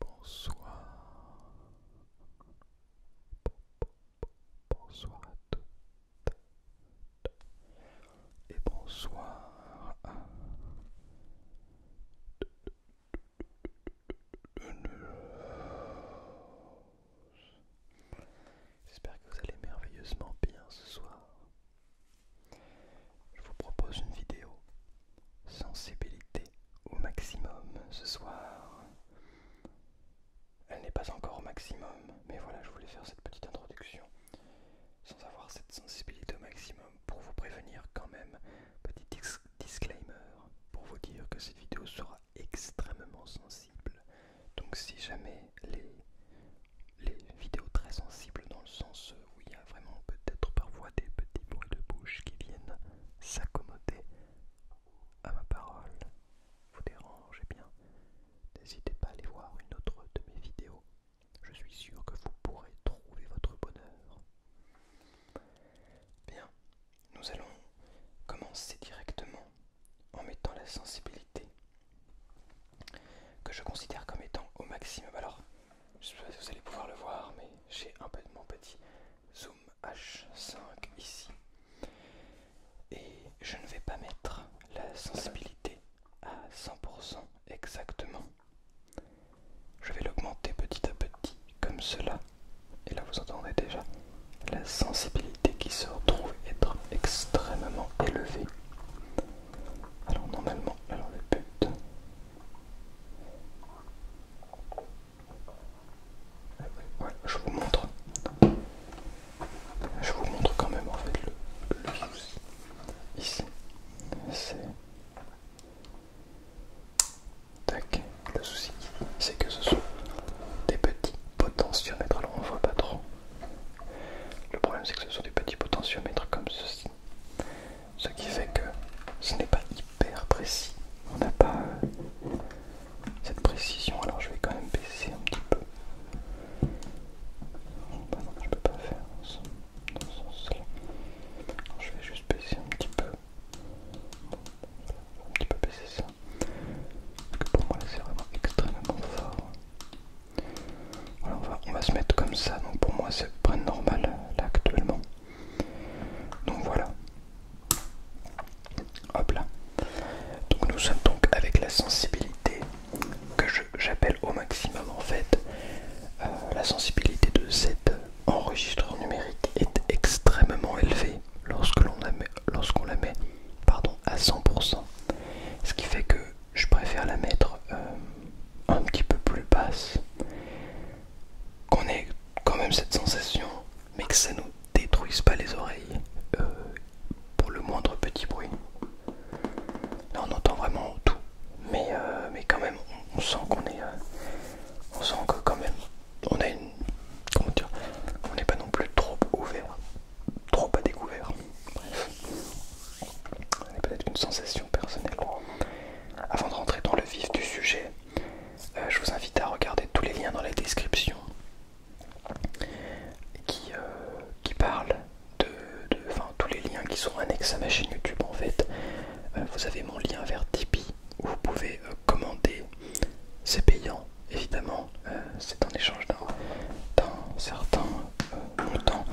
Bonsoir. Bonsoir à toutes et bonsoir à J'espère que vous allez merveilleusement bien ce soir. Je vous propose une vidéo sensibilité au maximum ce soir. Elle n'est pas encore au maximum, mais voilà, je voulais faire cette petite introduction sans avoir cette sensibilité au maximum pour vous prévenir quand même. Petit disclaimer pour vous dire que cette vidéo sera extrêmement sensible. Donc si jamais les, vidéos très sensibles dans le sens où il y a vraiment peut-être parfois des petits bruits de bouche qui viennent s'accommoder à ma parole, vous dérangez eh bien, n'hésitez pas à aller voir une autre de mes vidéos. Je suis sûr que vous pourrez trouver votre bonheur. Bien, nous allons commencer directement en mettant la sensibilité que je considère comme étant au maximum. Alors, je ne sais pas si vous allez pouvoir le voir, mais j'ai un peu de mon petit zoom H5 ici. Et je ne vais pas mettre la sensibilité à 100% exactement. Je vais l'augmenter petit à petit comme cela. Et là vous entendez déjà la sensibilité qui se retrouve être extrêmement élevée. Alors normalement, alors le but je vous montre. Je vous montre quand même en fait le, souci. Ici, c'est... Tac, le souci, c'est que ce sont des petits potentiomètres. Alors on voit pas trop. Le problème c'est que ce sont des petits potentiomètres comme ceci. Ce qui fait que ce n'est pas hyper précis. On n'a pas euh, cette précision, alors je vais quand même baisser un petit peu. Bah je peux pas faire dans ce sens-là. Je vais juste baisser un petit peu. un petit peu baisser ça. Parce que pour moi c'est vraiment extrêmement fort on va, se mettre comme ça. Donc pour moi, c'est pas normal là actuellement. Donc voilà. Hop là. Donc nous sommes donc avec la sensibilité que j'appelle au maximum en fait. Euh, la sensibilité de cet enregistreur numérique est extrêmement élevée lorsque l'on lorsqu'on la met pardon, à 100%. Ce qui fait que je préfère la mettre euh, un petit peu plus basse. Qu'on ait quand même cette sensation, mais que ça nous détruise pas les oreilles euh, pour le moindre petit bruit. Là on entend vraiment tout, mais, euh, mais quand même on, sent qu'on est... on sent que quand même on a une... Comment dire On n'est pas non plus trop ouvert, trop à découvert. Bref peut-être une sensation personnelle. Avant de rentrer dans le vif du sujet, euh, je vous invite à regarder tous les liens dans la description qui, euh, parlent de, enfin, tous les liens qui sont annexes à ma chaîne YouTube en fait. Euh, vous avez mon lien vers Tipeee où vous pouvez commander, c'est payant évidemment, c'est en échange d'un certain longtemps,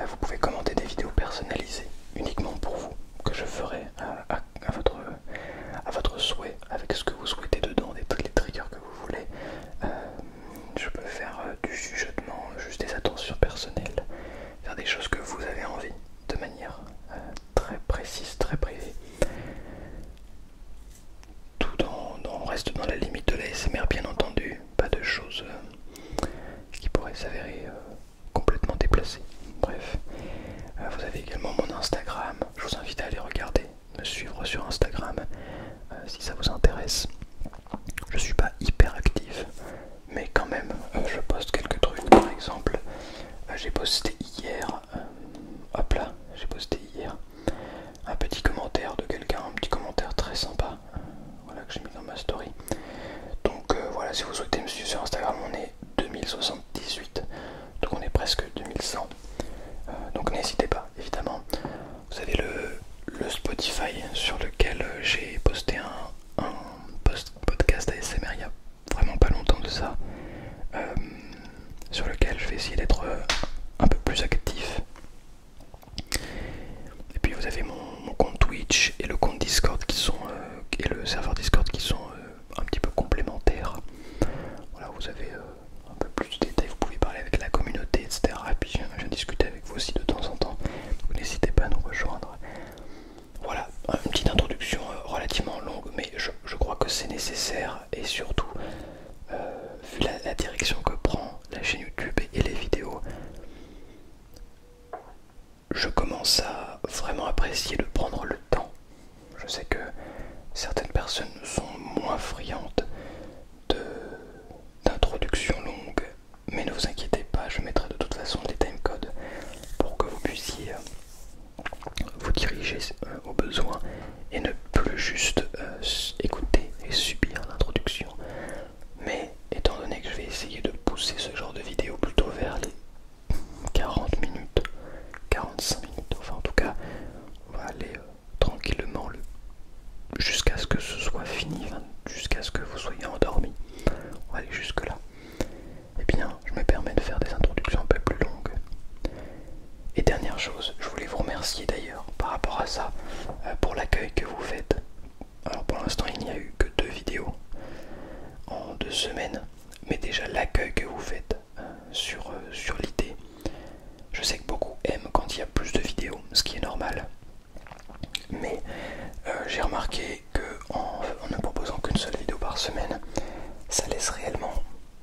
euh, vous pouvez commenter des vidéos personnalisées uniquement pour vous, que je ferai à, votre, à votre souhait, avec ce que vous souhaitez dedans, les, les triggers que vous voulez. Euh, je peux faire euh, du sujetement, juste des attentions personnelles, faire des choses que vous avez envie, de manière très précise, très privée. Tout en, reste dans la limite de l'ASMR bien entendu, pas de choses qui pourrait s'avérer euh, complètement déplacé. Bref, euh, vous avez également mon Instagram, je vous invite à aller regarder, me suivre sur Instagram euh, si ça vous intéresse. Je suis pas hyper actif, mais quand même, je poste quelques trucs. Par exemple, j'ai posté hier, hop là, j'ai posté hier un petit commentaire de quelqu'un, un petit commentaire très sympa voilà que j'ai mis dans ma story donc euh, voilà si vous souhaitez me suivre sur Instagram on est 2078 donc on est presque 2100 euh, donc n'hésitez pas évidemment vous avez le, Spotify sur lequel euh, j'ai posté un, un podcast ASMR il y a vraiment pas longtemps de ça sur lequel je vais essayer d'être un peu plus actif et puis vous avez mon, compte Twitch et le compte Discord qui sont euh, et le serveur Discord qui sont euh, un petit peu complémentaires. Voilà, vous avez euh, un peu plus de détails, vous pouvez parler avec la communauté, etc. Et puis je, discute avec vous aussi de temps en temps. Vous n'hésitez pas à nous rejoindre. Voilà, une petite introduction relativement longue, mais je, crois que c'est nécessaire et surtout, vu la direction que prend la chaîne YouTube et les vidéos, je commence à vraiment apprécier de prendre le temps. Je sais que certaines personnes sont moins friandes d'introductions longues, mais ne vous inquiétez pas, je mettrai de toute façon des timecodes pour que vous puissiez euh, vous diriger euh, au besoin et ne plus juste euh, écouter et subir l'introduction mais étant donné que je vais essayer de pousser ce genre de vidéo plutôt vers les 40 minutes, 45 minutes, enfin en tout cas, on va aller euh, tranquillement jusqu'à ce que ce soit fini, jusqu'à ce que vous soyez endormi. On va aller jusque là. Et eh bien, je me permets de faire des introductions un peu plus longues. Et dernière chose, je voulais vous remercier d'ailleurs par rapport à ça euh, pour l'accueil que vous faites alors pour l'instant il n'y a eu que deux vidéos en deux semaines, mais déjà l'accueil que vous faites euh, sur, euh, sur l'idée. Je sais que beaucoup aiment quand il y a plus de vidéos, ce qui est normal. Mais euh, j'ai remarqué que en ne proposant qu'une seule vidéo par semaine, ça laisse réellement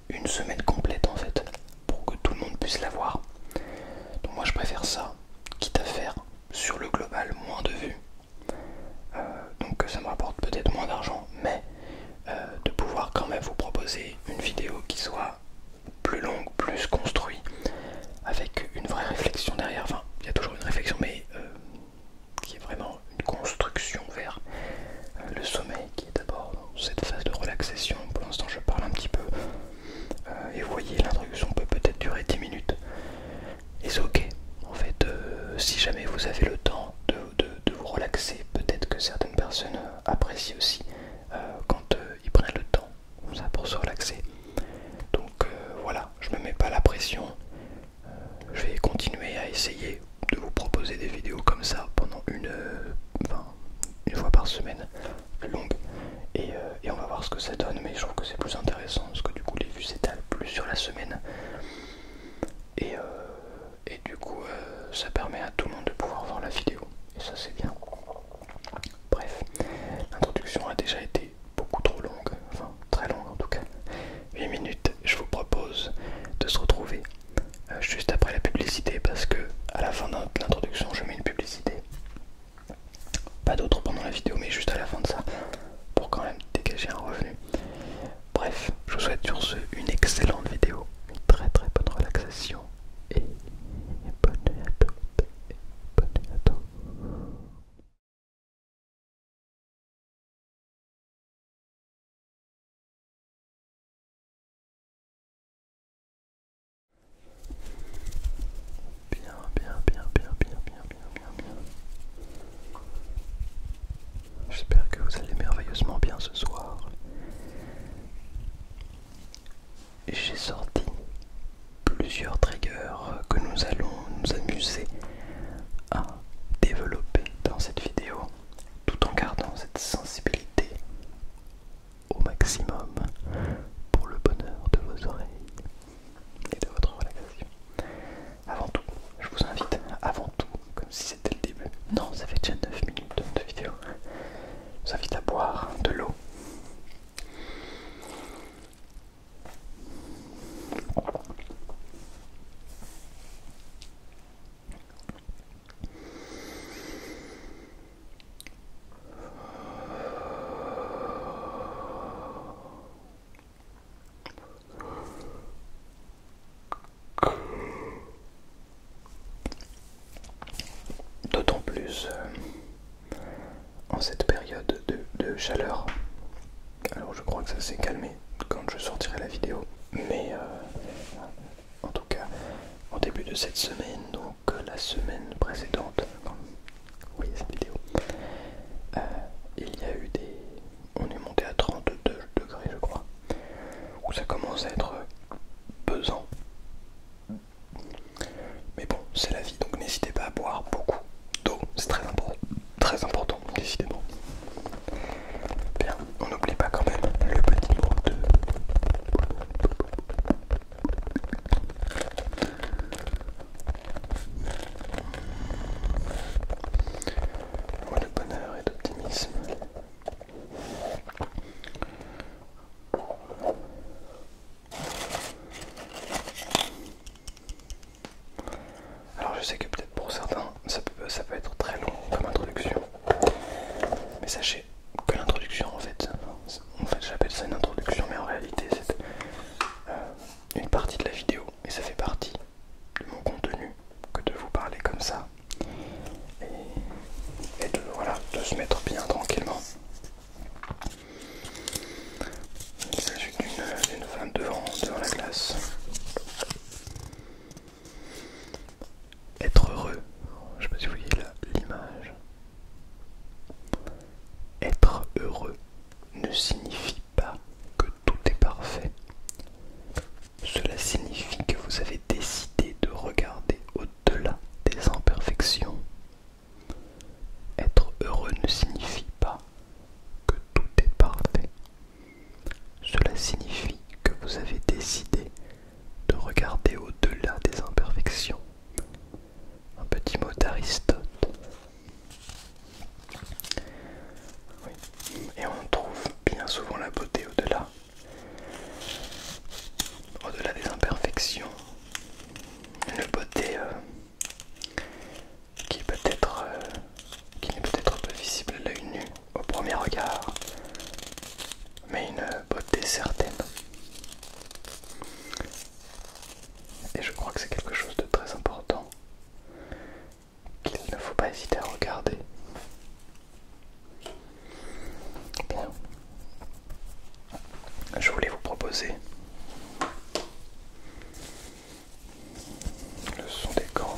une semaine complète en fait pour que tout le monde puisse la voir. Donc moi je préfère ça, quitte à faire sur le global moins de vues. Euh, donc ça me rapporte peut-être moins d'argent, mais euh, de pouvoir quand même vous proposer une vidéo qui soit plus longue, plus construite, avec une vraie réflexion derrière. Enfin, il y a toujours une réflexion, mais euh, qui est vraiment une construction vers le sommeil, qui est d'abord cette phase de relaxation. Pour l'instant, je parle un petit peu euh, et vous voyez, l'introduction peut peut-être durer 10 minutes. Et c'est ok. En fait, euh, si jamais vous avez le temps de, vous relaxer, peut-être que certaines personnes euh, apprécient aussi quand ils prennent le temps pour se relaxer. Donc voilà, je ne me mets pas la pression. je vais continuer à essayer de vous proposer des vidéos comme ça pendant une, enfin, une fois par semaine plus longue euh, et, on va voir ce que ça donne mais je trouve que c'est plus intéressant parce que du coup les vues s'étalent plus sur la semaine et, euh, du coup euh, ça permet à tout le monde de pouvoir voir la vidéo et ça c'est bien bref l'introduction a déjà été beaucoup trop longue enfin très longue en tout cas 8 minutes je vous propose de se retrouver juste après la publicité parce que à la fin de l'introduction je mets une publicité pas d'autres pendant la vidéo, mais juste à la fin de ça, pour quand même dégager un revenu. Bref, je vous souhaite sur ce une excellente vidéo, une très très bonne relaxation et bonne nuit à à tous. Bien, bien, bien, bien, bien, bien, bien, bien, bien. J'espère que vous allez merveilleusement bien ce soir. J'ai sorti plusieurs triggers que nous allons nous amuser à développer dans cette vidéo tout en gardant cette sensibilité au maximum pour le bonheur de vos oreilles et de votre relaxation. Avant tout, je vous invite, avant tout, comme si c'était le début, non, ça fait déjà 9 minutes de vidéo, je vous invite à boire de l'eau. D'autant plus euh, en cette période de, chaleur. Alors je crois que ça s'est calmé quand je sortirai la vidéo. Mais euh, en tout cas, au début de cette semaine, que la semaine précédente, vous voyez cette vidéo, euh, il y a eu des. On est monté à 32 degrés, je crois, où ça commence à être pesant. Mais bon, c'est la vie, donc n'hésitez pas à boire beaucoup d'eau, c'est très important, très important, décidément. Bien, on n'oublie pas quand même le petit mot de de bonheur et d'optimisme. Alors je sais que peut-être pour certains ça peut, ça peut être très long comme introduction, mais sachez que l'introduction en fait en fait j'appelle ça une introduction mais en réalité c'est euh, une partie de la vidéo et ça fait partie de mon contenu que de vous parler comme ça et, de, voilà, se mettre bien tranquillement. la suite d'une femme devant, devant la glace. Être heureux, je sais pas si vous voyez l'image, être heureux ne signifie pas que tout est parfait. Cela signifie que vous avez décidé de regarder au-delà des imperfections. Être heureux ne signifie pas que tout est parfait. Cela signifie que vous avez décidé de regarder au-delà des imperfections un petit mot d'Aristote. Et on trouve bien souvent la beauté au-delà. Au-delà des imperfections. Une beauté euh, qui peut-être euh, qui n'est peut-être pas visible à l'œil nu au premier regard, mais une beauté certaine. Et je crois que c'est quelque chose de très important qu'il ne faut pas hésiter à regarder. Bien. Je voulais vous proposer le son des grands.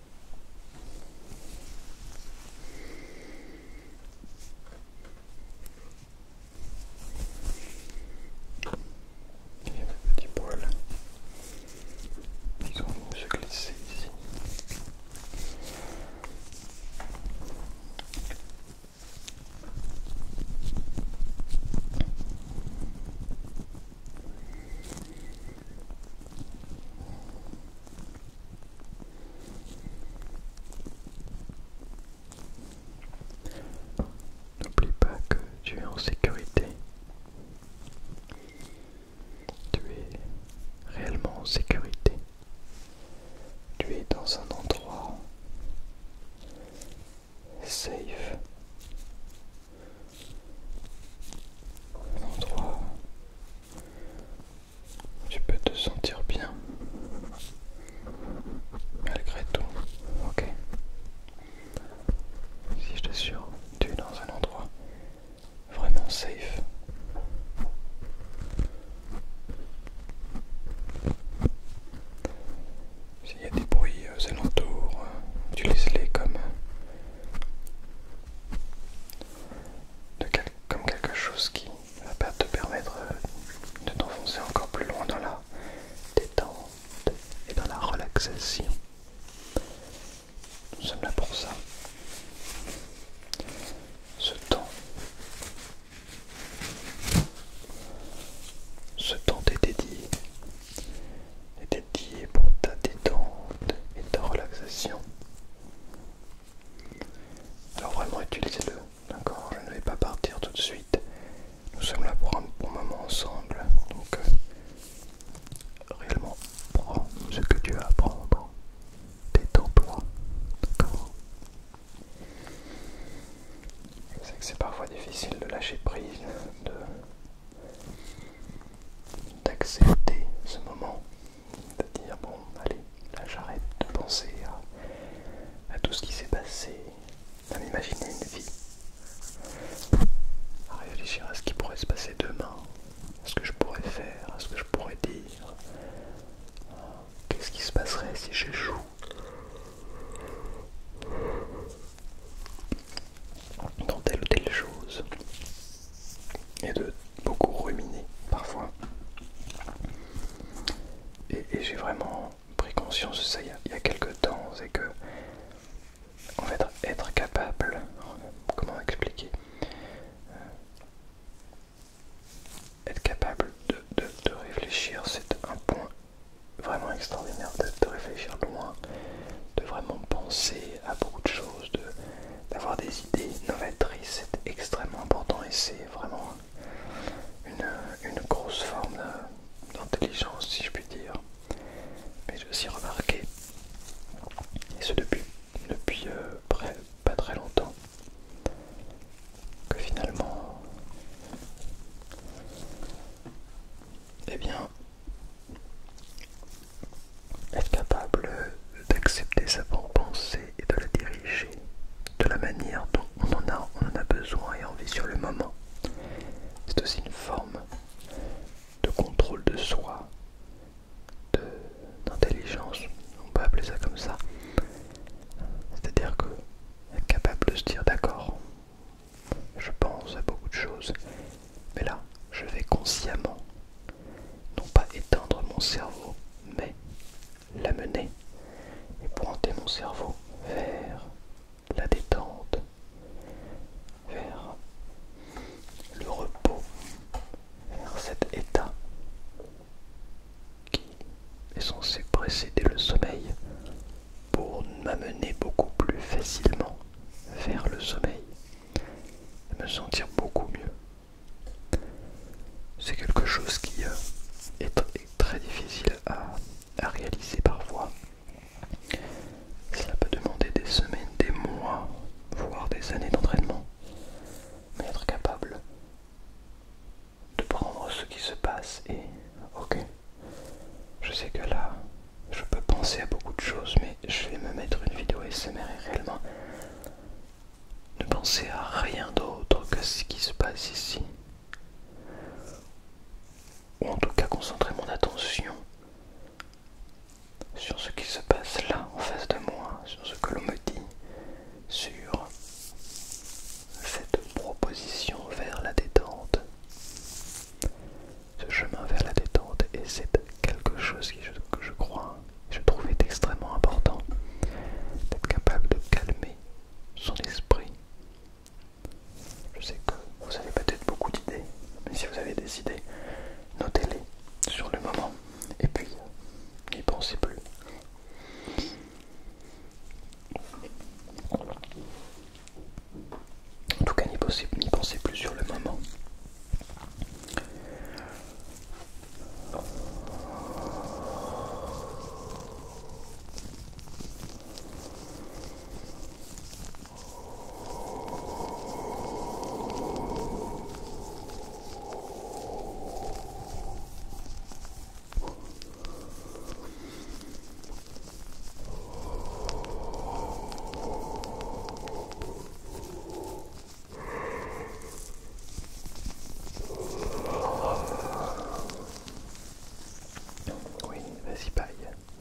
Il y a des petits poils qui sont de se glisser ici. N'oublie pas que tu es en sécurité. Tu es réellement en sécurité. Tu es dans un endroit safe un endroit où tu peux te sentir bien malgré tout, ok Si je t'assure, tu es dans un endroit vraiment safe. S'il y a des bruits euh, alentours, euh, tu laisses-les comme comme quelque chose qui va te permettre euh, de t'enfoncer encore plus loin dans la détente et dans la relaxation. Nous sommes là pour ça. Ce temps. Ce temps t'est dédié est dédié pour ta détente et ta relaxation. Alors vraiment utilisez-le, d'accord Je ne vais pas partir tout de suite. Nous sommes là pour un bon moment ensemble. Donc euh, réellement prends ce que tu as à prendre. Détends-toi. D'accord Je sais que c'est parfois difficile de lâcher prise, de d'accepter ce moment, de dire bon allez, là j'arrête de penser à, tout ce qui s'est passé, à m'imaginer une vie, à réfléchir à ce qui pourrait se passer demain, à ce que je pourrais faire, à ce que je pourrais dire, qu'est-ce qui se passerait si j'échoue dans telle ou telle chose et de beaucoup ruminer parfois. Et, j'ai vraiment pris conscience de ça il y a, quelques temps, c'est que en fait être capable, comment expliquer, euh, être capable de, réfléchir, c'est un point vraiment extraordinaire de, de réfléchir loin, de vraiment penser à beaucoup de choses, d'avoir des idées novatrices, c'est extrêmement important et c'est vraiment une, grosse forme d'intelligence si je puis dire. Mais je suis remarqué, et ce depuis, depuis euh, pas très longtemps, que finalement, eh bien, être capable d'accepter sa propre pensée et de la diriger de la manière dont on en a, besoin et envie sur le moment. C'est aussi une forme de contrôle de soi, d'intelligence, on peut appeler ça comme ça. C'est-à-dire que être capable de se dire d'accord, je pense à beaucoup de choses, mais là, je vais consciemment, non pas éteindre mon cerveau, mais l'amener et pointer mon cerveau vers la détente, vers le repos, vers cet état qui est censé précéder le sommeil pour m'amener beaucoup plus facilement vers le sommeil de me sentir beaucoup mieux. C'est quelque chose qui euh, est très difficile à, à réaliser parfois. Cela peut demander des semaines, des mois, voire des années d'entraînement. Mais être capable de prendre ce qui se passe et ok, je sais que là, je peux penser à beaucoup de choses, mais je vais me mettre une vidéo SMR et réellement ne penser à rien d'autre que ce qui se passe ici. Ou en tout cas concentrer mon attention sur ce qui se passe là en face de moi, sur ce que l'on me dit, sur cette proposition vers la détente ce chemin vers la détente et c'est quelque chose que je crois, je trouve est extrêmement important, d'être capable de calmer son esprit. Je sais que vous avez peut-être beaucoup d'idées, mais si vous avez des idées, notez-les sur le moment et puis n'y pensez plus. En tout cas, n'y pensez plus sur le moment. Oui, vas-y paille,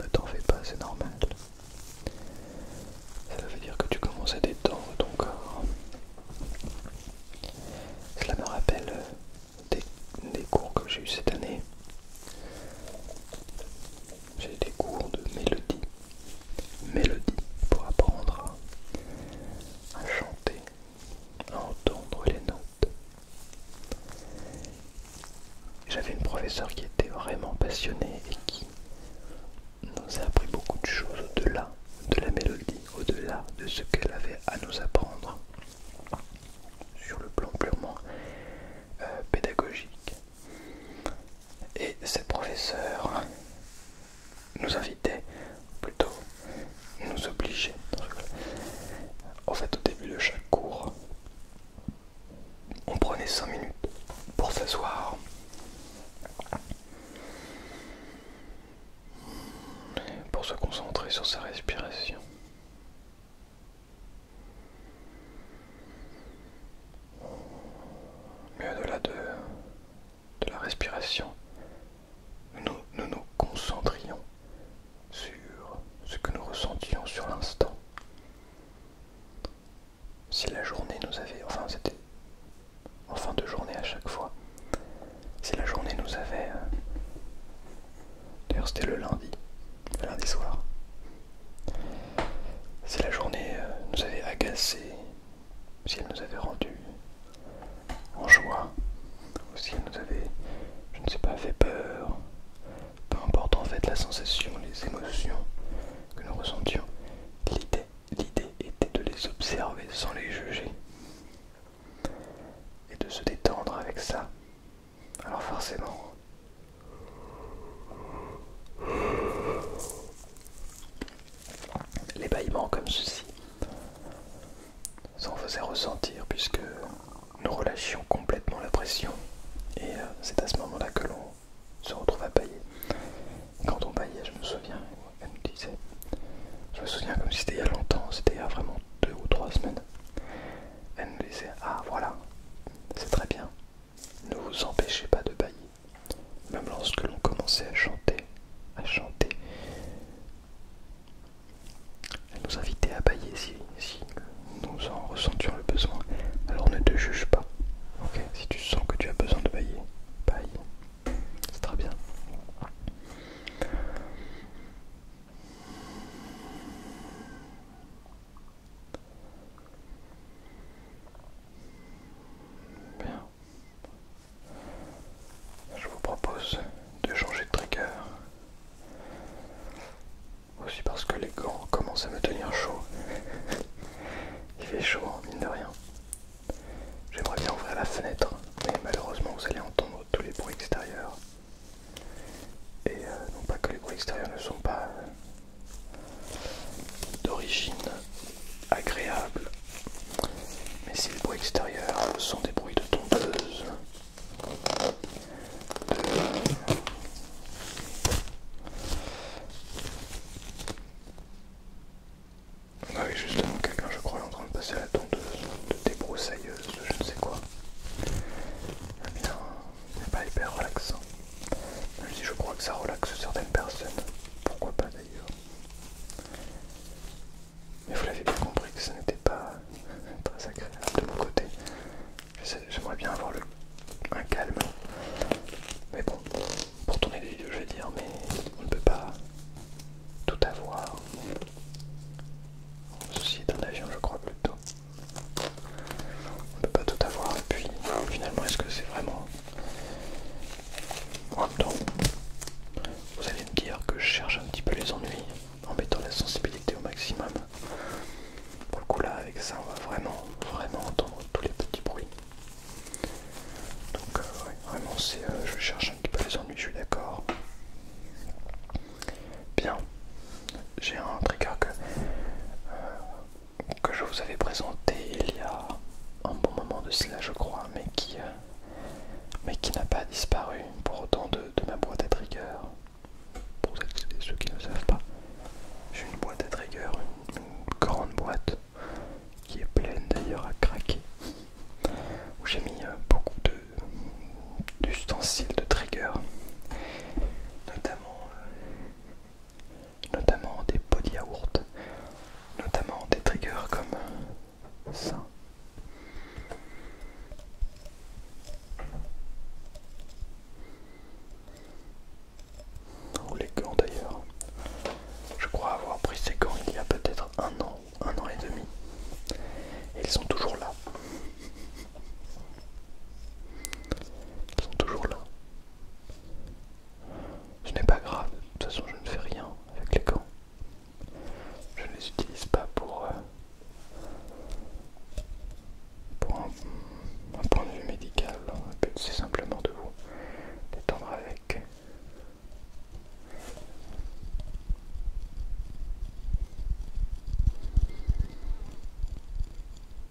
ne t'en fais pas, c'est normal. Ça veut dire que tu commences à détendre ton corps. Cela me rappelle des, cours que j'ai eu cette année j'ai des cours de mélodie, mélodie pour apprendre à, chanter, à entendre les notes. J'avais une professeure qui était vraiment passionnée et qui nous a appris beaucoup de choses au-delà de la mélodie, au-delà de ce qu'elle avait à nous apprendre sur le plan purement euh, pédagogique. Et cette professeurs nous invitait, plutôt nous obligeait, en fait au début de chaque cours, on prenait 5 minutes pour s'asseoir. Pour se concentrer sur sa respiration. Mais au-delà de, de la respiration, nous, nous nous concentrions sur ce que nous ressentions sur l'instant. Si la journée nous avait, enfin c'était en fin de journée à chaque fois, si la journée nous avait, euh, d'ailleurs c'était le lundi, le lundi soir, si la journée euh, nous avait agacés, si elle nous avait rendus en joie, ou si elle nous avait, je ne sais pas, fait peur, peu importe en fait la sensation, les émotions que nous ressentions, l'idée, l'idée était de les observer sans les juger et de se détendre avec ça alors forcément, les comme ceci s'en faisait ressentir puisque nous relâchions complètement la pression et euh, c'est à ce moment-là que l'on se retrouve à bailler. quand on baillait, je me souviens, elle nous disait, je me souviens comme si c'était il y a longtemps, c'était il y a vraiment deux ou trois semaines. Elle nous disait, ah voilà, c'est très bien, ne vous empêchez pas de bailler. Même lorsque l'on commençait à chanter, à chanter, à nous inviter à bailler si, si nous en ressentions le besoin. Alors ne te juge pas. ok Si tu sens que tu as besoin de bailler, baille. C'est très bien. Bien. Je vous propose de changer de trigger. Aussi parce que les gants commencent à me tenir chaud. Il fait chaud, hein, mine de rien. J'aimerais bien ouvrir la fenêtre, mais malheureusement vous allez entendre tous les bruits extérieurs. Et euh, non pas que les bruits extérieurs ne sont pas euh, d'origine agréable. Mais si les bruits extérieurs sont des bruits de tondeuse, ah oui, justement, quelqu'un, je crois, est en train de passer à la tondeuse, de débroussailleuse, je ne sais quoi. Eh bien, n'est pas hyper relaxant si je crois que ça relaxe certaines personnes. Pourquoi pas d'ailleurs. Mais vous l'avez bien compris que ça n'était pas très agréable de mon côté. J'aimerais bien avoir un calme. Mais bon, pour tourner des vidéos, je vais dire, mais on ne peut pas tout avoir. Ceci est un avion, je crois, plutôt. On ne peut pas tout avoir et puis finalement est-ce que c'est vraiment... En même temps, vous allez me dire que je cherche un petit peu les ennuis en mettant la sensibilité au maximum. Pour le coup là avec ça on va vraiment vraiment entendre tous les petits bruits. Donc euh, vraiment c'est euh, je cherche un petit peu les ennuis, je suis d'accord. Bien j'ai un trigger que, euh, que je vous avais présenté il y a un bon moment de cela je crois, mais qui, euh, mais qui n'a pas disparu pour autant de, ma boîte à trigger. Pour ceux qui ne savent pas, j'ai une boîte à trigger, une, grande boîte qui est pleine d'ailleurs à craquer, où j'ai mis euh, beaucoup d'ustensiles de, de trigger, notamment notamment des body de notamment des triggers comme ça. Ou les gants d'ailleurs. Je crois avoir pris ces gants il y a peut-être un an, un an et demi. Et ils sont toujours là. Ils sont toujours là. Ce n'est pas grave, de toute façon je ne fais rien avec les gants. Je ne les utilise pas pour, euh, un, point de vue médical. c'est simplement de vous détendre avec.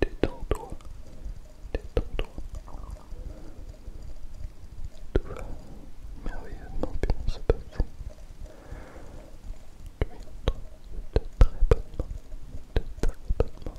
Détends-toi. Détends-toi. Tout va merveilleusement bien se passer. Tu es de très bonnes mains. De très bonnes mains.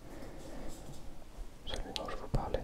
celui dont je vous parlais.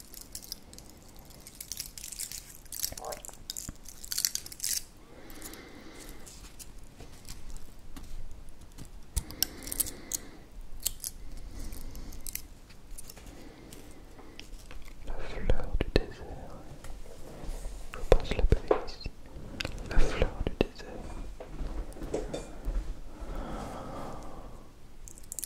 La fleur du désert. Je pense l'appeler ici. La fleur du désert.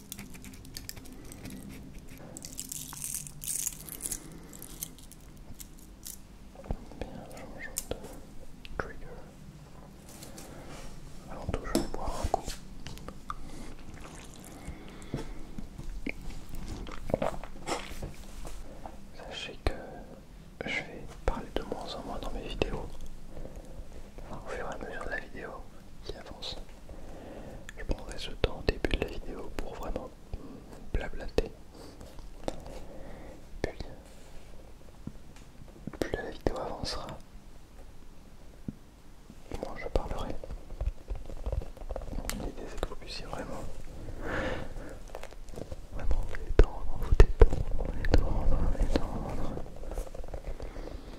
Bien, changeons de trigger. vais toujours boire un coup. Sachez que je vais parler de moins en moins dans mes vidéos. Au fur et à mesure de la vidéo, qui avance. Je prendrai ce temps au début de la vidéo pour vraiment blablater. Puis, plus la vidéo avancera, moins je parlerai. L'idée c'est que vous puissiez vraiment, vraiment vous détendre, vous détendre, vous